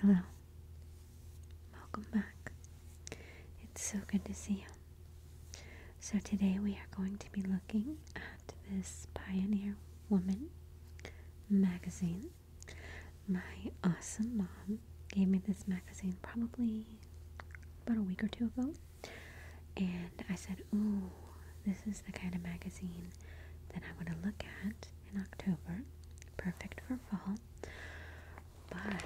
Hello. Welcome back. It's so good to see you. So, today we are going to be looking at this Pioneer Woman magazine. My awesome mom gave me this magazine probably about a week or two ago. And I said, Ooh, this is the kind of magazine that I want to look at in October. Perfect for fall. But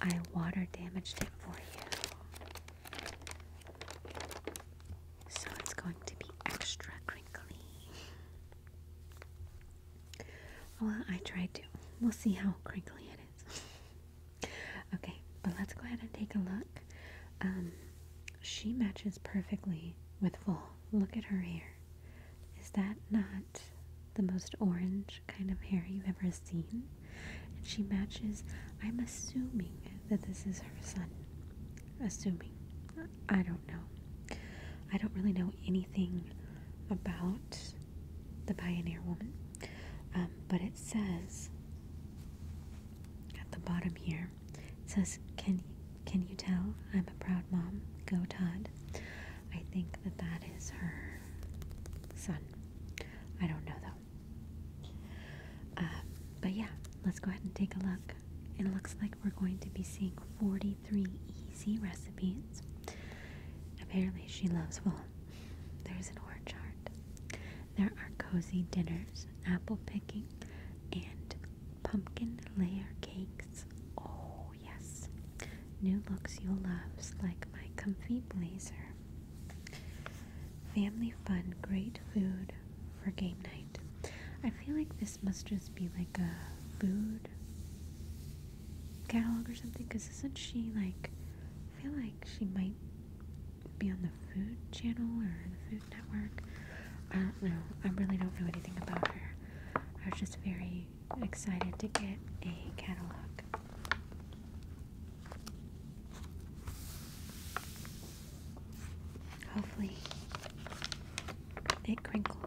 I water damaged it for you. So it's going to be extra crinkly. Well, I tried to. We'll see how crinkly it is. okay, but let's go ahead and take a look. Um, she matches perfectly with full. Look at her hair. Is that not the most orange kind of hair you've ever seen? And she matches, I'm assuming that this is her son. Assuming. I don't know. I don't really know anything about the pioneer woman. Um, but it says at the bottom here, it says, "Can can you tell I'm a proud mom? Go Todd." I think that that is her son. I don't know though. Um, but yeah, let's go ahead and take a look. It looks like we're going to be seeing 43 easy recipes. Apparently, she loves wool. There's an orchard. There are cozy dinners, apple picking, and pumpkin layer cakes. Oh, yes. New looks you'll love, like my comfy blazer. Family fun, great food for game night. I feel like this must just be like a food catalog or something, because isn't she like, I feel like she might be on the Food Channel or the Food Network. I don't know. I really don't know anything about her. I was just very excited to get a catalog. Hopefully, it crinkles.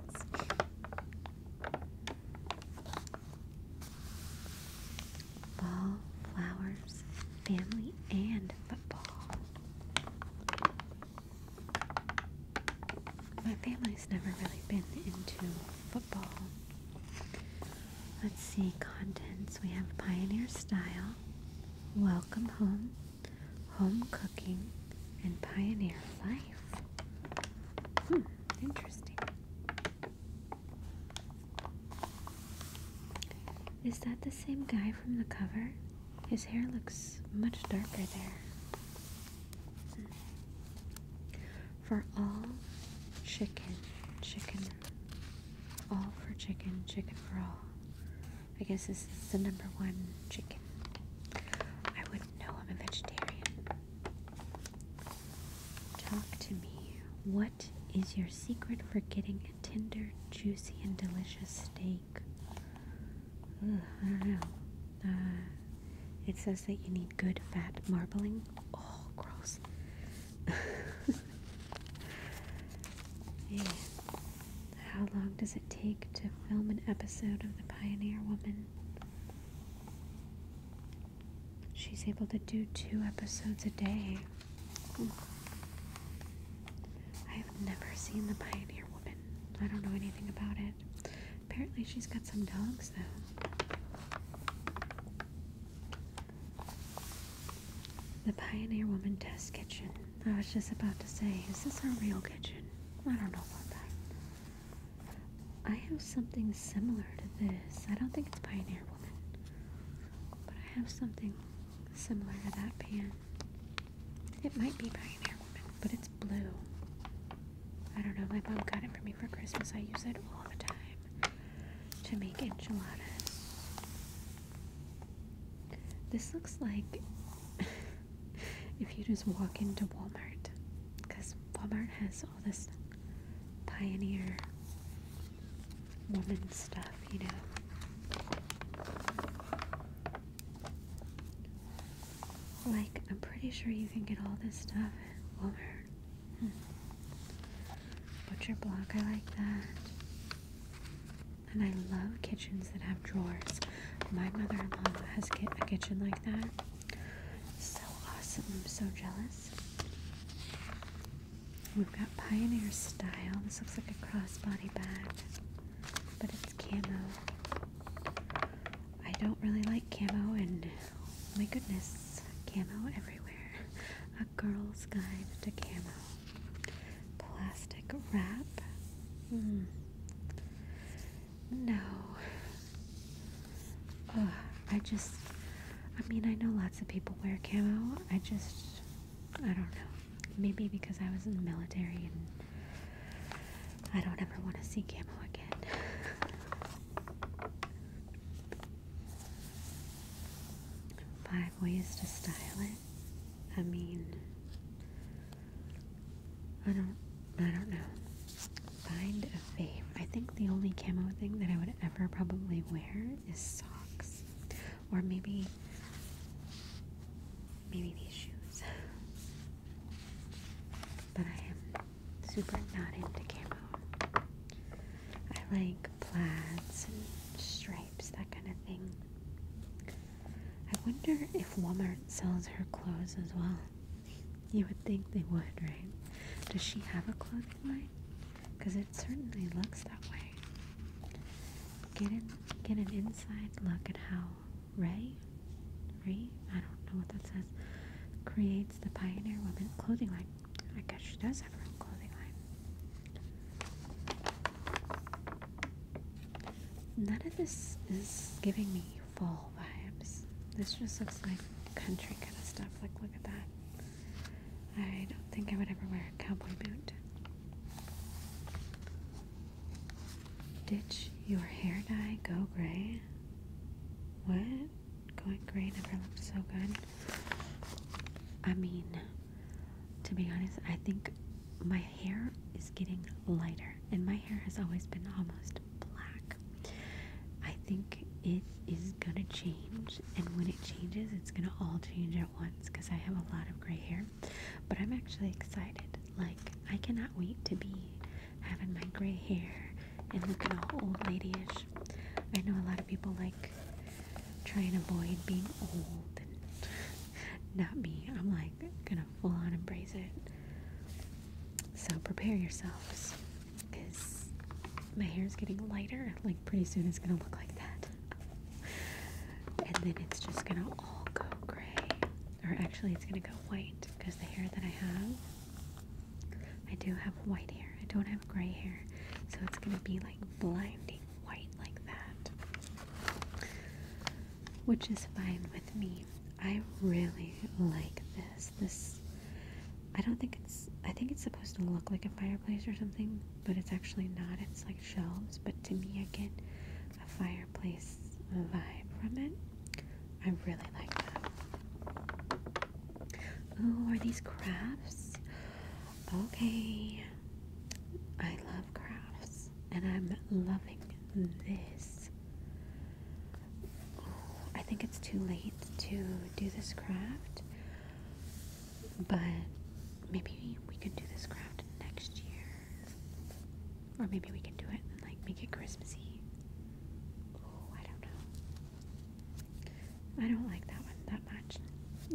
Ball, flowers, family, and football. My family's never really been into football. Let's see, contents. We have Pioneer Style, Welcome Home, Home Cooking, and Pioneer Life. Hmm, interesting. Is that the same guy from the cover? His hair looks much darker there. For all chicken, chicken, all for chicken, chicken for all. I guess this is the number one chicken. I wouldn't know I'm a vegetarian. Talk to me. What is your secret for getting a tender, juicy, and delicious steak? I don't know. Uh, it says that you need good fat marbling. Oh, gross. How long does it take to film an episode of The Pioneer Woman? she's able to do two episodes a day. I have never seen The Pioneer Woman. I don't know anything about it. Apparently, she's got some dogs, though. The Pioneer Woman Test Kitchen. I was just about to say, is this a real kitchen? I don't know about that. I have something similar to this. I don't think it's Pioneer but I have something similar to that pan. It might be by an air Woman, but it's blue. I don't know, my mom got it for me for Christmas. I use it all the time to make enchiladas. This looks like if you just walk into Walmart, because Walmart has all this pioneer woman stuff, you know. Like, I'm pretty sure you can get all this stuff at Walmart. Hmm. Butcher block, I like that. And I love kitchens that have drawers. My mother in law has a kitchen like that. So awesome. I'm so jealous. We've got Pioneer Style. This looks like a crossbody bag, but it's camo. I don't really like camo, and oh my goodness, camo everywhere. A girl's guide to camo. Plastic wrap. Hmm. No. I just, I mean, I know lots of people wear camo. I just, I don't know. Maybe because I was in the military and I don't ever want to see camo again. Five ways to style it. I mean, I don't, I don't know. Find a fave. I think the only camo thing that I would ever probably wear is socks. Or maybe maybe these shoes. But I am super not into camo. I like plaids and stripes, that kind of thing. I wonder if Walmart sells her clothes as well. You would think they would, right? Does she have a clothing line? because it certainly looks that way. Get in, get an inside look at how Ray, Ray, I don't know what that says, creates the Pioneer Woman clothing line. I guess she does have her own clothing line. None of this is giving me fall vibes. This just looks like country kind of stuff. Like, look at that. I don't think I would ever wear a cowboy boot. Ditch your hair dye, go gray. What? Going gray never looked so good. I mean, to be honest, I think my hair is getting lighter, and my hair has always been almost black. I think it is gonna change, and when it changes, it's gonna all change at once because I have a lot of gray hair. But I'm actually excited. Like, I cannot wait to be having my gray hair and looking all old ladyish. I know a lot of people like try and avoid being old, and not me. I'm like gonna full on embrace it. So prepare yourselves. Because my hair is getting lighter. Like, pretty soon it's going to look like that. and then it's just going to all go gray. Or actually, it's going to go white. Because the hair that I have, I do have white hair. I don't have gray hair. So it's going to be like blinding white like that. Which is fine with me. I really like this this I don't think it's I think it's supposed to look like a fireplace or something, but it's actually not. It's like shelves, but to me I get a fireplace vibe from it. I really like that. Oh, are these crafts? Okay. I love crafts and I'm loving this. I think it's too late to do this craft, but maybe we can do this craft next year. Or maybe we can do it and like make it Christmassy. Oh, I don't know. I don't like that one that much.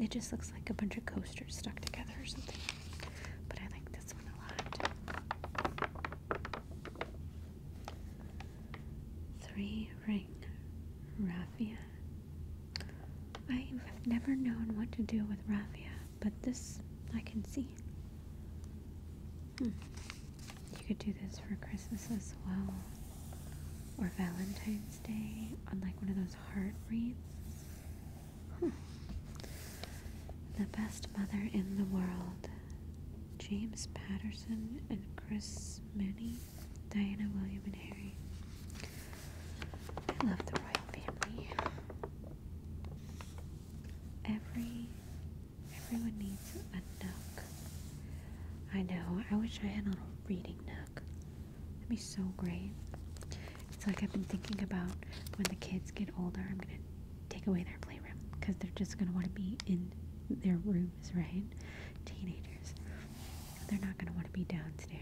It just looks like a bunch of coasters stuck together or something. But I like this one a lot. Three ring raffia. I've never known what to do with raffia, but this I can see. Hmm. You could do this for Christmas as well, or Valentine's Day on like one of those heart wreaths. Hmm. The best mother in the world, James Patterson and Chris Mooney. Diana, William, and Harry. I love the royal family. Every everyone needs a nook. I know. I wish I had a little reading nook. That'd be so great. It's like I've been thinking about when the kids get older. I'm gonna take away their playroom because they're just gonna want to be in their room right? Teenagers. They're not going to want to be downstairs.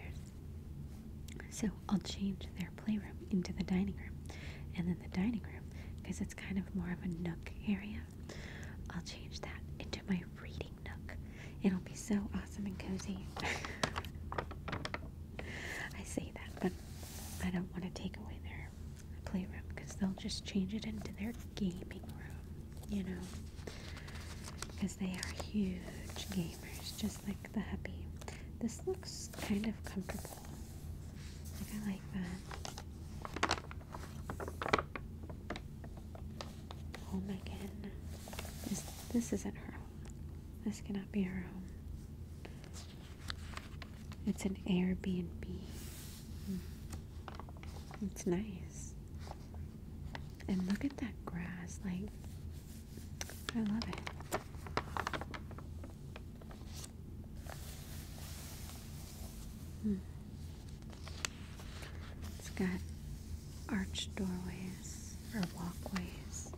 So I'll change their playroom into the dining room. And then the dining room, because it's kind of more of a nook area, I'll change that into my reading nook. It'll be so awesome and cozy. I say that, but I don't want to take away their playroom because they'll just change it into their gaming room you know, because they are huge gamers, just like the Happy. This looks kind of comfortable. I like that. Home oh again. This this isn't her home. This cannot be her home. It's an Airbnb. It's nice. And look at that grass. Like, I love it. Hmm. It's got arched doorways or walkways.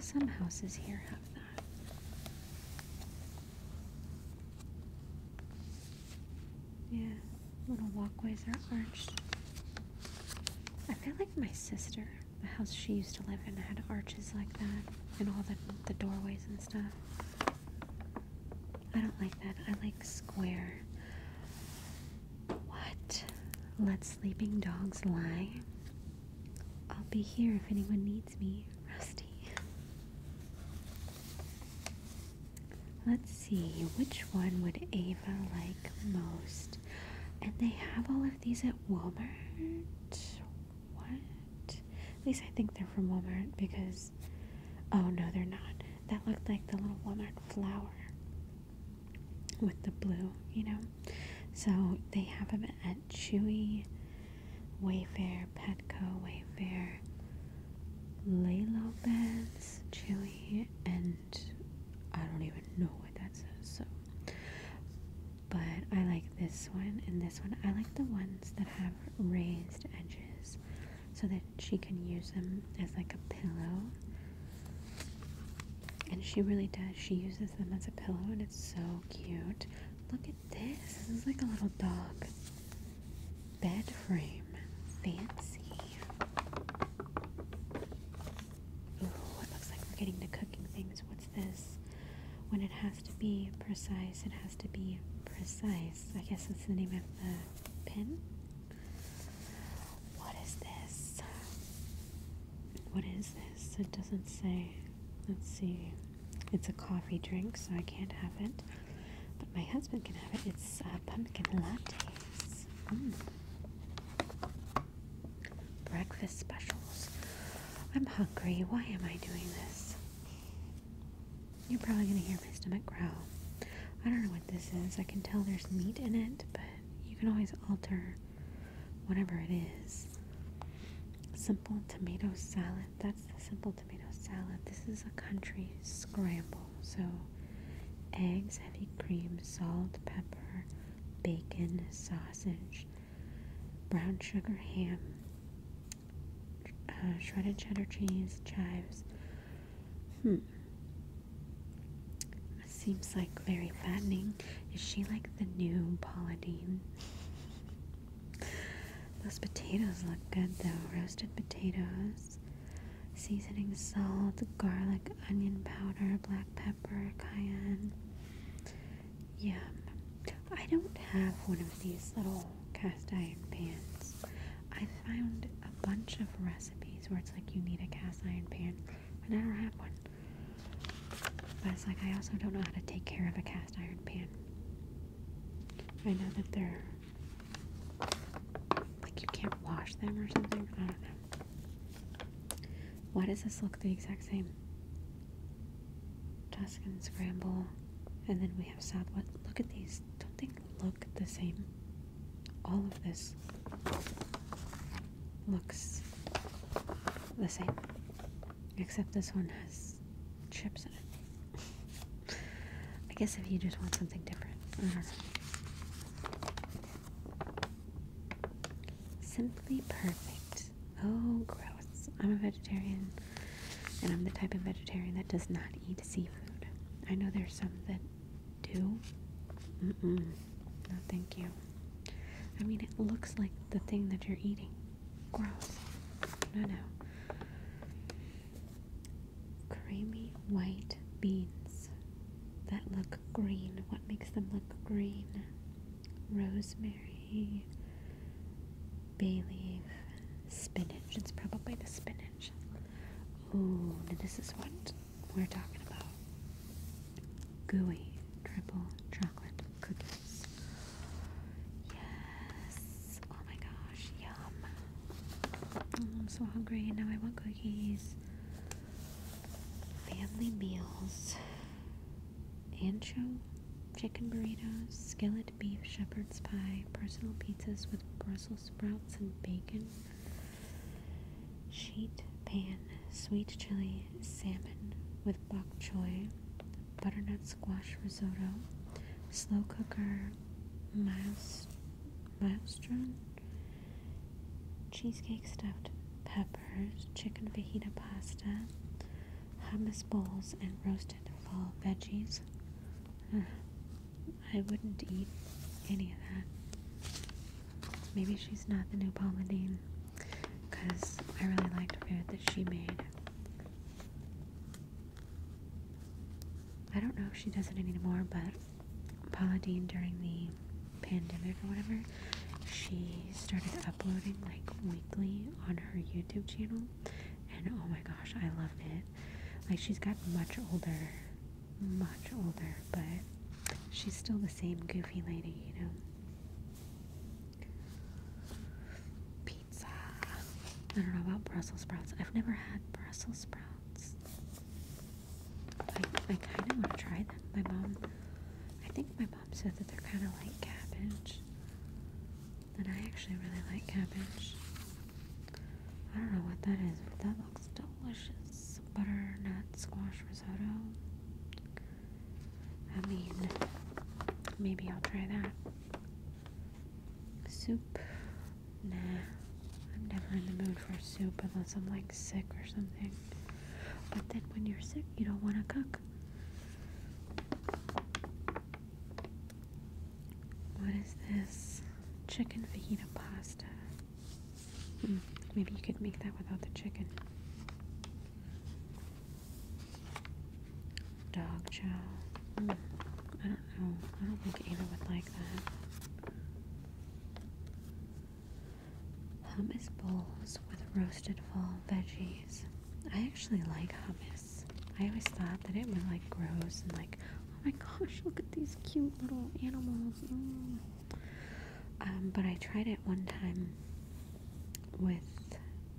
Some houses here have that. Yeah, little walkways are arched. I feel like my sister, the house she used to live in, had arches like that, and all the, the doorways and stuff. I don't like that. I like square. What? Let sleeping dogs lie? I'll be here if anyone needs me, Rusty. Let's see, which one would Ava like most? And they have all of these at Walmart? What? At least I think they're from Walmart because. Oh no, they're not. That looked like the little Walmart flower with the blue, you know? So they have them at Chewy Wayfair, Petco, Wayfair, Lalo Beds, Chewy, and I don't even know what that says. So, but I like this one and this one. I like the ones that have raised edges so that she can use them as like a pillow. And she really does. She uses them as a pillow and it's so cute. Look this. This is like a little dog bed frame. Fancy. Ooh, it looks like we're getting to cooking things. What's this? When it has to be precise, it has to be precise. I guess that's the name of the pin. What is this? What is this? It doesn't say. Let's see. It's a coffee drink, so I can't have it. But my husband can have it. It's uh, pumpkin lattes. Mm. Breakfast specials. I'm hungry. Why am I doing this? You're probably going to hear my stomach growl. I don't know what this is. I can tell there's meat in it, but you can always alter whatever it is. Simple tomato salad. That's the simple tomato salad. This is a country scramble. So, eggs, heavy cream, salt, pepper, bacon, sausage, brown sugar, ham, uh, shredded cheddar cheese, chives. Hmm. Seems like very fattening. Is she like the new Paula Deen? Those potatoes look good though. Roasted potatoes, seasoning, salt, garlic, onion powder, black pepper, cayenne. Yum. I don't have one of these little cast iron pans. I found a bunch of recipes where it's like you need a cast iron pan, but I don't have one. But it's like I also don't know how to take care of a cast iron pan. I know that they're like you can't wash them or something? I don't know. Why does this look the exact same? Tuscan scramble. And then we have Southwest. Look at these. Don't they look the same? All of this looks the same. Except this one has chips I guess if you just want something different. Mm-hmm. Simply perfect. Oh, gross. I'm a vegetarian, and I'm the type of vegetarian that does not eat seafood. I know there's some that do. No, thank you. I mean, it looks like the thing that you're eating. Gross. No, no creamy white beans that look green. What makes them look green? Rosemary, bay leaf, spinach. It's probably the spinach. Oh, this is what we're talking about. Gooey triple chocolate cookies. Yes. Oh my gosh. Yum. Oh, I'm so hungry and now I want cookies. Family meals. Ancho, chicken burritos, skillet beef shepherd's pie, personal pizzas with Brussels sprouts and bacon, sheet pan, sweet chili, salmon with bok choy, butternut squash risotto, slow cooker miles, minestrone, cheesecake stuffed peppers, chicken fajita pasta, hummus bowls, and roasted fall veggies. I wouldn't eat any of that. Maybe she's not the new Paula Dean, because I really liked food that she made. I don't know if she does it anymore, but Paula Dean during the pandemic or whatever, she started uploading like weekly on her YouTube channel, and oh my gosh, I loved it. Like she's got much older, much older, but she's still the same goofy lady, you know. I don't know about Brussels sprouts. I've never had Brussels sprouts. I, I kind of want to try them. My mom, I think my mom said that they're kind of like cabbage. And I actually really like cabbage. I don't know what that is, but that looks delicious. Butternut squash risotto. I mean, maybe I'll try that. Soup? Nah. I'm never in the mood for soup unless I'm like sick or something. But then when you're sick, you don't want to cook. What is this? Chicken fajita pasta. Hmm, maybe you could make that without the chicken. Dog chow. Hmm. I don't know. I don't think Anna would like that. Hummus bowls with roasted fall veggies. I actually like hummus. I always thought that it was like gross and like, oh my gosh, look at these cute little animals. Mm. Um, but I tried it one time with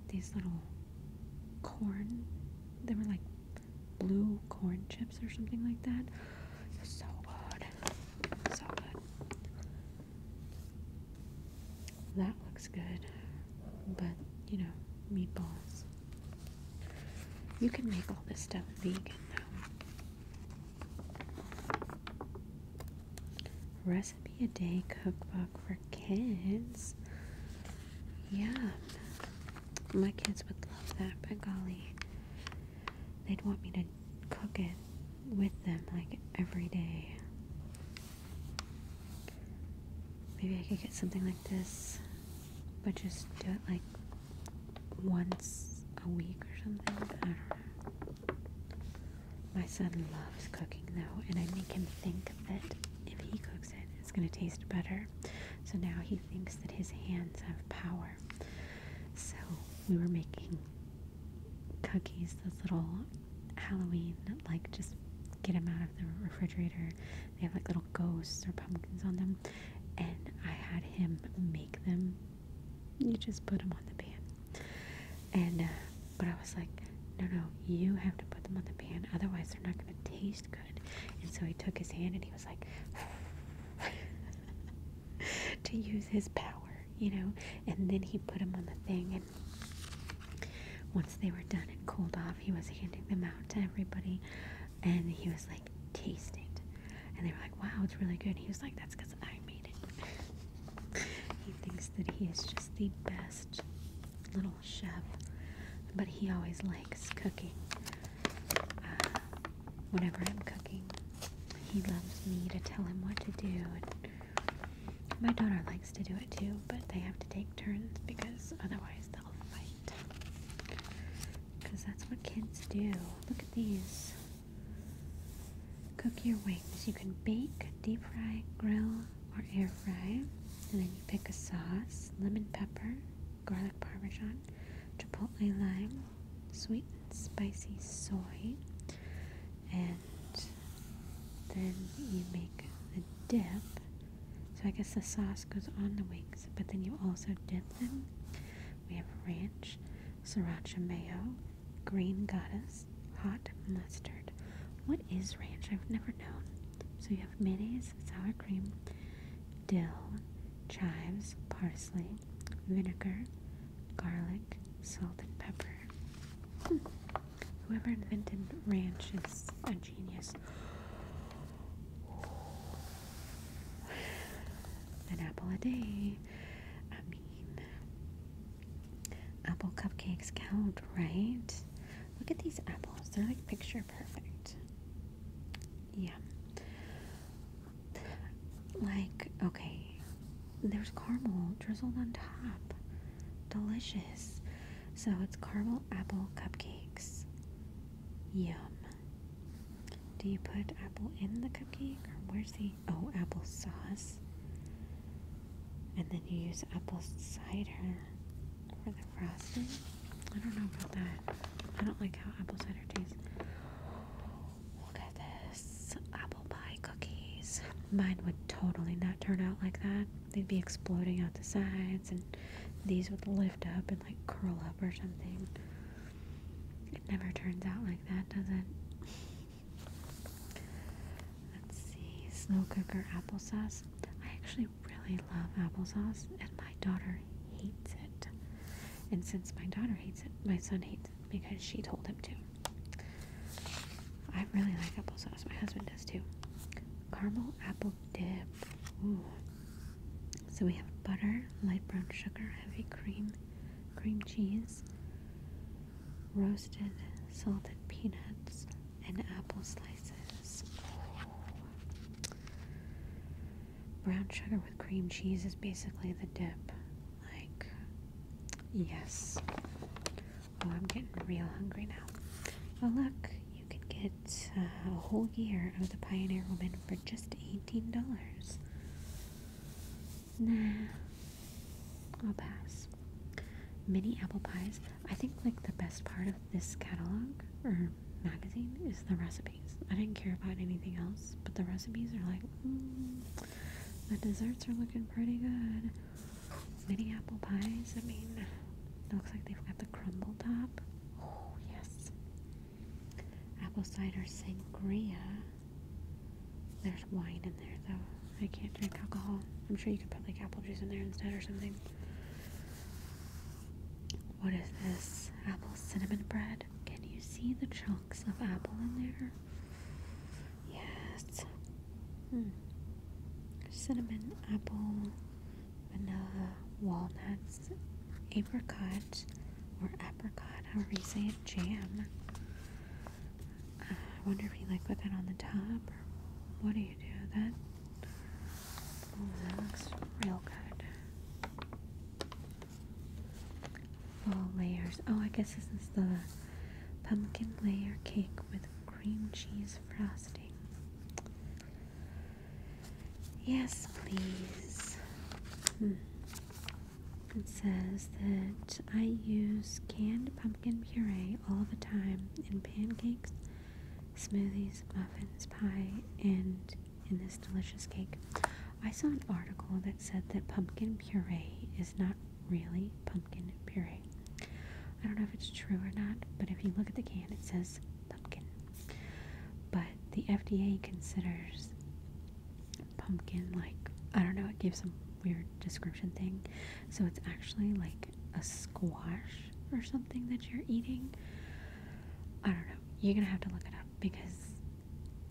these little corn they were like blue corn chips or something like that. So good. So good. That looks good. But, you know, meatballs. You can make all this stuff vegan though. Recipe a day cookbook for kids. Yeah, my kids would love that, but golly, they'd want me to cook it with them like every day. Maybe I could get something like this, but just do it like once a week or something. I don't know. My son loves cooking though, and I make him think that if he cooks it. It's going to taste better. So now he thinks that his hands have power. So we were making cookies, those little Halloween, like just get them out of the refrigerator. They have like little ghosts or pumpkins on them. And I had him make them. You just put them on the pan. And, uh, but I was like, no, no, you have to put them on the pan. Otherwise, they're not going to taste good. And so he took his hand and he was like, to use his power, you know. And then he put him on the thing, and once they were done and cooled off, he was handing them out to everybody, and he was like, tasting, And they were like, wow, it's really good. He was like, that's because I made it. he thinks that he is just the best little chef, but he always likes cooking. Uh, whenever I'm cooking, he loves me to tell him what to do. And my daughter likes to do it too, but they have to take turns because otherwise they'll fight. Because that's what kids do. Look at these. Cook your wings. You can bake, deep fry, grill, or air fry. And then you pick a sauce lemon pepper, garlic parmesan, chipotle lime, sweet and spicy soy. And then you make a dip. So I guess the sauce goes on the wings, but then you also dip them. We have ranch, sriracha mayo, green goddess, hot mustard. What is ranch? I've never known. So you have mayonnaise, sour cream, dill, chives, parsley, vinegar, garlic, salt, and pepper. Hmm. Whoever invented ranch is a genius. An apple a day. I mean, apple cupcakes count, right? Look at these apples. They're like picture perfect. Yeah. Like, okay, there's caramel drizzled on top. Delicious. So it's caramel apple cupcakes. Yum. Do you put apple in the cupcake? Or where's the. Oh, apple sauce. And then you use apple cider or the frosting. I don't know about that. I don't like how apple cider tastes. Look at this apple pie cookies. Mine would totally not turn out like that. They'd be exploding out the sides, and these would lift up and like curl up or something. It never turns out like that, does it? Let's see, slow cooker applesauce. I actually really love applesauce, and my daughter hates it. And since my daughter hates it, my son hates it because she told him to. I really like applesauce. My husband does too. Caramel apple dip. So we have butter, light brown sugar, heavy cream, cream cheese, roasted salted peanuts, and apple slices. Brown sugar with cream cheese is basically the dip. Like, yes. Oh, I'm getting real hungry now. Oh, look, you can get uh, a whole year of the Pioneer Woman for just $18. Nah, I'll pass. Mini apple pies I think like the best part of this catalog or magazine is the recipes. I didn't care about anything else, but the recipes are like, mm, the desserts are looking pretty good. Mini apple pies. I mean, looks like they've got the crumble top. Oh yes. Apple cider sangria. There's wine in there though. I can't drink alcohol. I'm sure you could put like apple juice in there instead or something. What is this? Apple cinnamon bread? Can you see the chunks of apple in there? Yes. Hmm. Cinnamon, apple, vanilla, walnuts, apricot, or apricot, however you say it, jam. Uh, I wonder if you like put that on the top, or what do you do? That looks real good. Full layers. Oh, I guess this is the pumpkin layer cake with cream cheese frosting. Yes, please. Hmm. It says that I use canned pumpkin puree all the time in pancakes smoothies, muffins, pie, and in this delicious cake. I saw an article that said that pumpkin puree is not really pumpkin puree. I don't know if it's true or not, but if you look at the can, it says pumpkin. But the FDA considers pumpkin like, I don't know, it gives some weird description thing. So it's actually like a squash or something that you're eating. I don't know. You're gonna have to look it up because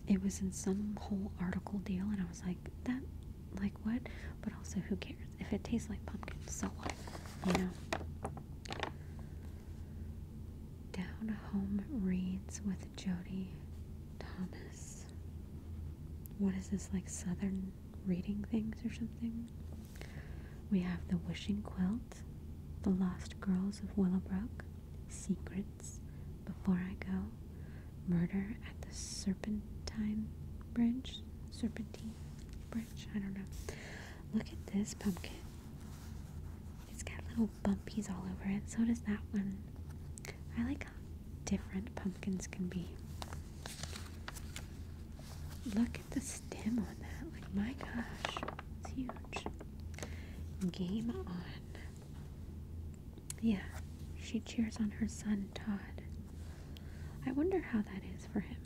it was in some whole article deal, and I was like, that, like what? But also, who cares? If it tastes like pumpkin, so what? You know? Down Home Reads with Jody Thomas. What is this, like Southern reading things or something. We have The Wishing Quilt, The Lost Girls of Willowbrook, Secrets, Before I Go, Murder at the Serpentine Bridge, Serpentine Bridge, I don't know. Look at this pumpkin. It's got little bumpies all over it, so does that one. I like how different pumpkins can be. Look Look at the stem on that. Like, my gosh, it's huge. Game on. Yeah, she cheers on her son, Todd. I wonder how that is for him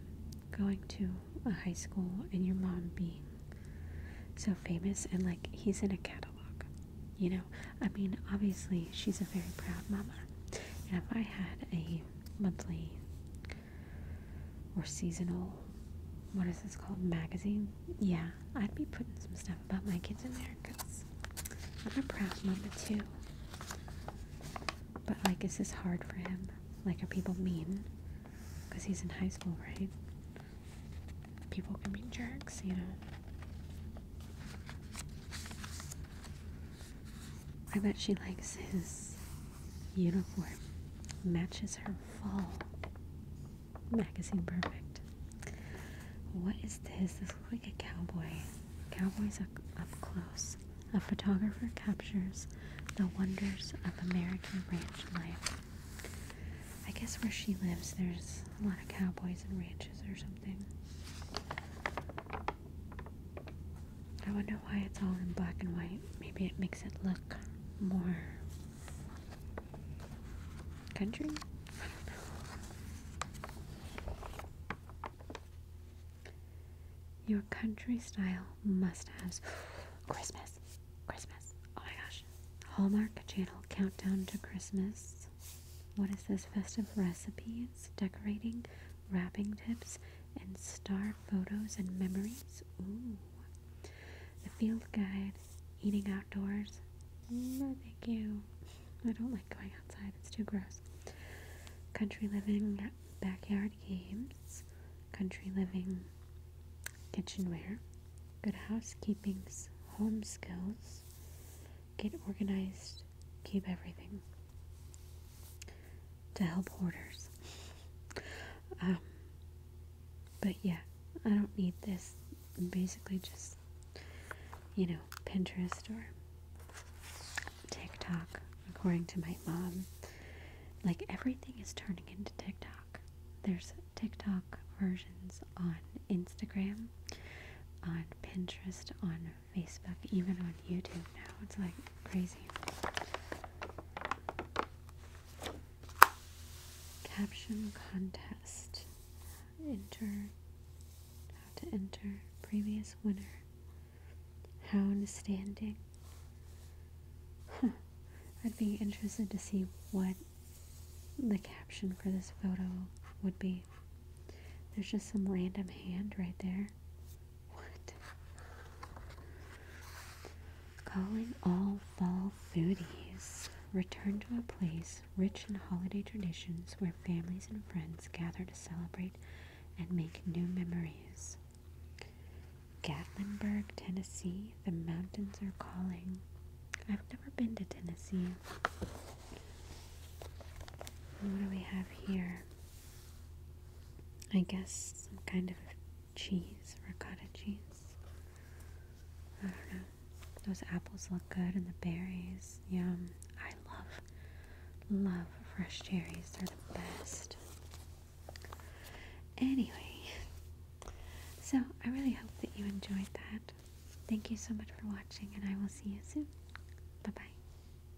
going to a high school and your mom being so famous and like he's in a catalog. You know, I mean, obviously she's a very proud mama. And if I had a monthly or seasonal what is this called magazine yeah i'd be putting some stuff about my kids in there because i'm a proud mama too but like is this hard for him like are people mean because he's in high school right people can be jerks you know I bet she likes his uniform. Matches her fall. Magazine perfect. What is this? This looks like a cowboy. Cowboys up, close. A photographer captures the wonders of American ranch life. I guess where she lives, there's a lot of cowboys and ranches or something. I wonder why it's all in black and white. Maybe it makes it look more country? I don't know. Your country style must haves. Christmas! Christmas! Oh my gosh. Hallmark Channel Countdown to Christmas. What is this? Festive recipes, decorating, wrapping tips, and star photos and memories. Ooh. The field guide, eating outdoors. Mm, thank you. I don't like going outside, it's too gross. Country living, backyard games, country living, kitchenware, good housekeeping's home skills, get organized, keep everything to help hoarders. Um, but yeah, I don't need this. Basically, just you know, Pinterest or TikTok, according to my mom. Like everything is turning into TikTok. There's TikTok versions on Instagram, on Pinterest, on Facebook, even on YouTube now. It's like crazy. Caption contest. Enter. How to enter. Previous winner. Hound standing. Huh. I'd be interested to see what the caption for this photo would be. There's just some random hand right there. What? Calling all fall foodies. Return to a place rich in holiday traditions where families and friends gather to celebrate and make new memories. Gatlinburg, Tennessee, the mountains are calling. I've never been to Tennessee. What do we have here? I guess some kind of cheese, ricotta cheese. I don't know. Those apples look good and the berries. Yum. I love, love fresh cherries. They're the best. Anyway, so I really hope that you enjoyed that. Thank you so much for watching, and I will see you soon. Bye bye.